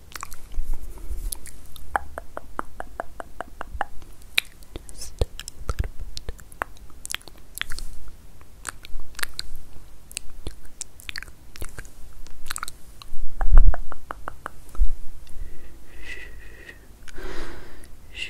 Just a little bit. Just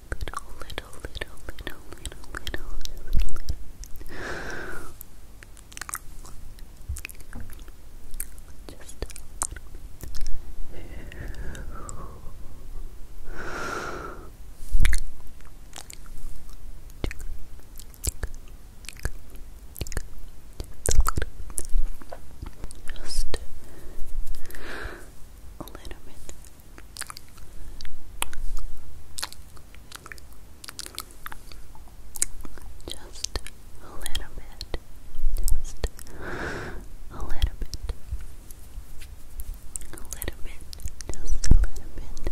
little, little, little, little, little, little, little, Just a little bit. Just a little bit. Just a little bit. A little bit. Just a little bit.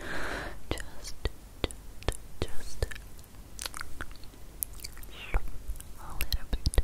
Just, just, just a little bit.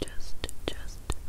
just, just, just,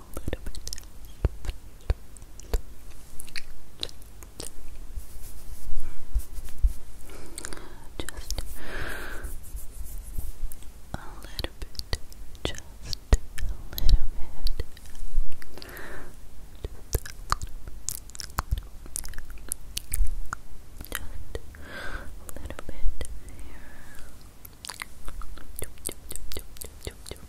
a little bit. Just a little bit, just a little bit. Just a little bit here.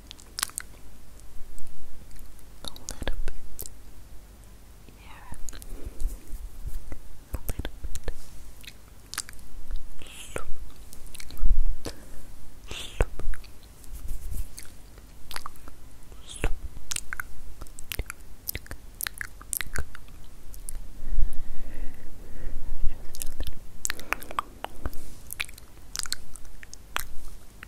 a little bit here, a little bit.